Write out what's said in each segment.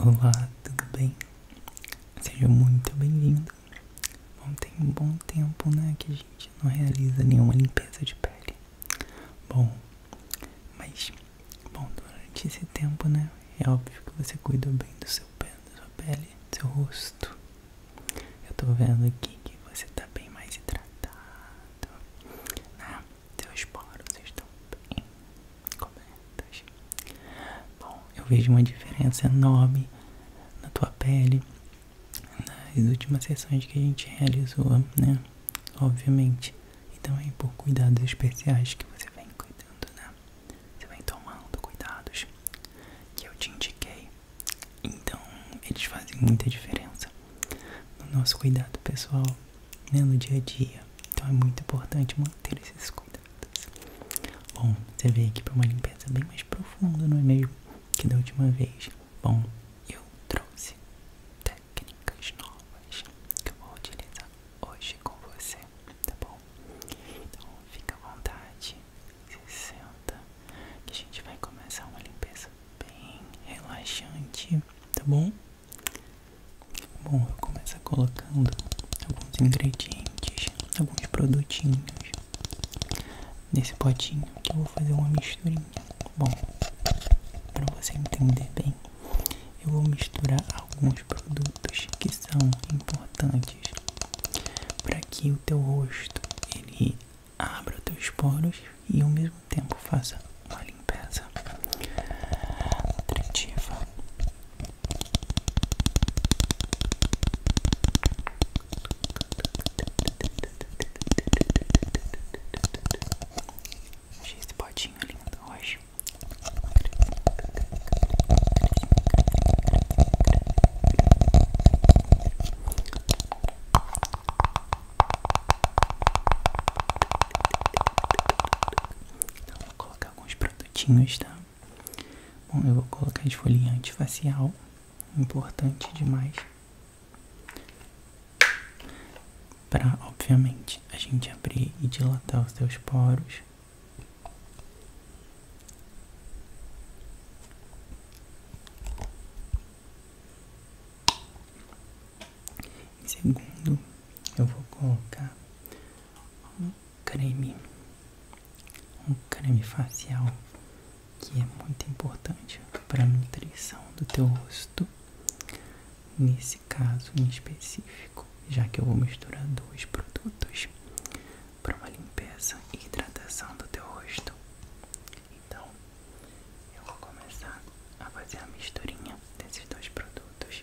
Olá, tudo bem? Seja muito bem-vindo. Bom, tem um bom tempo, né, que a gente não realiza nenhuma limpeza de pele. Bom, mas, bom, durante esse tempo, né, é óbvio que você cuidou bem do seu pé, da sua pele, do seu rosto. Eu tô vendo aqui que você tá bem mais hidratado, né? Seus poros estão bem cobertos. Bom, eu vejo uma diferença enorme na tua pele nas últimas sessões que a gente realizou, né? Obviamente. E também por cuidados especiais que você vem cuidando, né? Você vem tomando cuidados que eu te indiquei. Então, eles fazem muita diferença no nosso cuidado pessoal né, no dia a dia. Então é muito importante manter esses cuidados. Bom, você veio aqui para uma limpeza bem mais profunda, não é mesmo? Que da última vez. Bom, eu trouxe técnicas novas que eu vou utilizar hoje com você, tá bom? Então fica à vontade, se senta, que a gente vai começar uma limpeza bem relaxante, tá bom? Bom, eu começo colocando alguns ingredientes, alguns produtinhos nesse potinho que eu vou fazer uma misturinha. Bom, para você entender bem, eu vou misturar alguns produtos que são importantes para que o teu rosto ele abra os teus poros e ao mesmo tempo faça uma limpeza nutritiva. Achei esse potinho lindo hoje colocar alguns produtinhos, tá? Bom, eu vou colocar esfoliante facial, importante demais. Para, obviamente, a gente abrir e dilatar os seus poros. Em segundo eu vou colocar um creme, um creme facial que é muito importante para a nutrição do teu rosto, nesse caso em específico, já que eu vou misturar dois produtos para uma limpeza e hidratação do teu rosto. Então, eu vou começar a fazer a misturinha desses dois produtos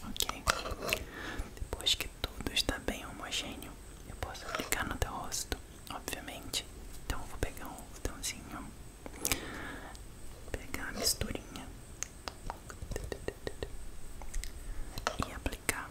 Ok, depois que tudo está bem homogêneo. Eu posso aplicar no teu rosto, obviamente. Então vou pegar um botãozinho, pegar a misturinha e aplicar.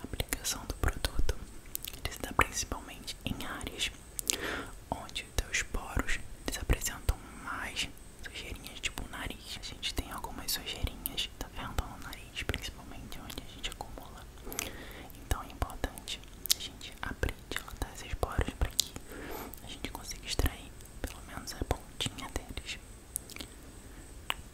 A aplicação do produto ele se dá principalmente em áreas onde os poros eles apresentam mais sujeirinhas, tipo o nariz. A gente tem algumas sujeirinhas, tá vendo? No nariz, principalmente onde a gente acumula. Então é importante a gente abrir, dilatar esses poros para que a gente consiga extrair pelo menos a pontinha deles.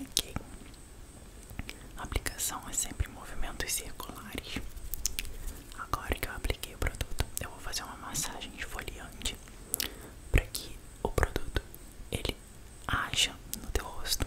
Ok. A aplicação é sempre movimentos circulares. Agora que eu apliquei o produto, eu vou fazer uma massagem esfoliante para que o produto ele haja no teu rosto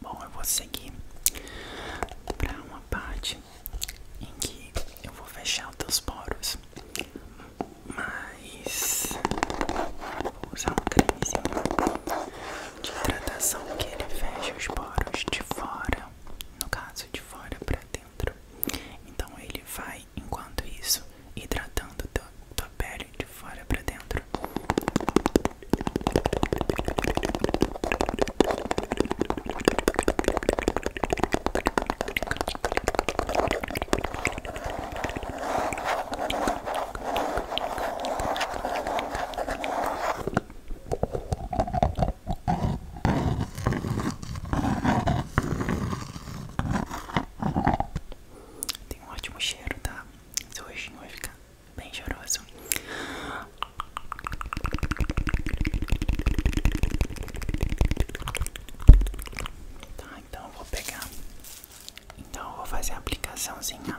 Bom, eu vou seguir para uma parte em que eu vou fechar os teus poros, mas vou usar um cremezinho de hidratação que ele fecha os poros de fora, no caso de fora para dentro. Então ele vai, enquanto isso, hidratando tua, pele de fora para dentro. Tem um ótimo cheiro, tá? Seu rostinho vai ficar bem cheiroso. Tá, então eu vou pegar. Então eu vou fazer a aplicaçãozinha.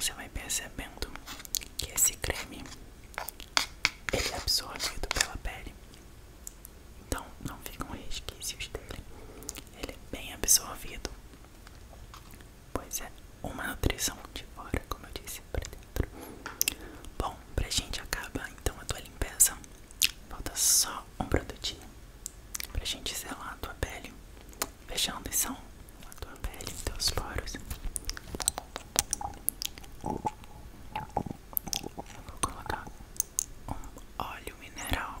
Você vai percebendo que esse creme ele é absorvido pela pele, então não ficam resquícios dele. Ele é bem absorvido, pois é uma nutrição de fora, como eu disse, pra dentro. Bom, pra gente acaba então a tua limpeza. Falta só um produtinho pra gente selar a tua pele fechando são a tua pele, teus poros. Eu vou colocar óleo mineral.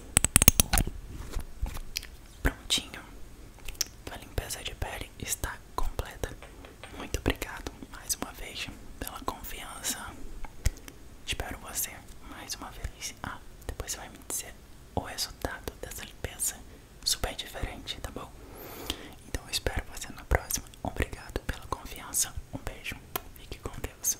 Prontinho. A limpeza de pele está completa. Muito obrigado mais uma vez pela confiança. Espero você mais uma vez. Ah, depois você vai me dizer o resultado dessa limpeza. Super diferente, tá bom? Então eu espero você na próxima. Obrigado pela confiança. Um beijo. Fique com Deus.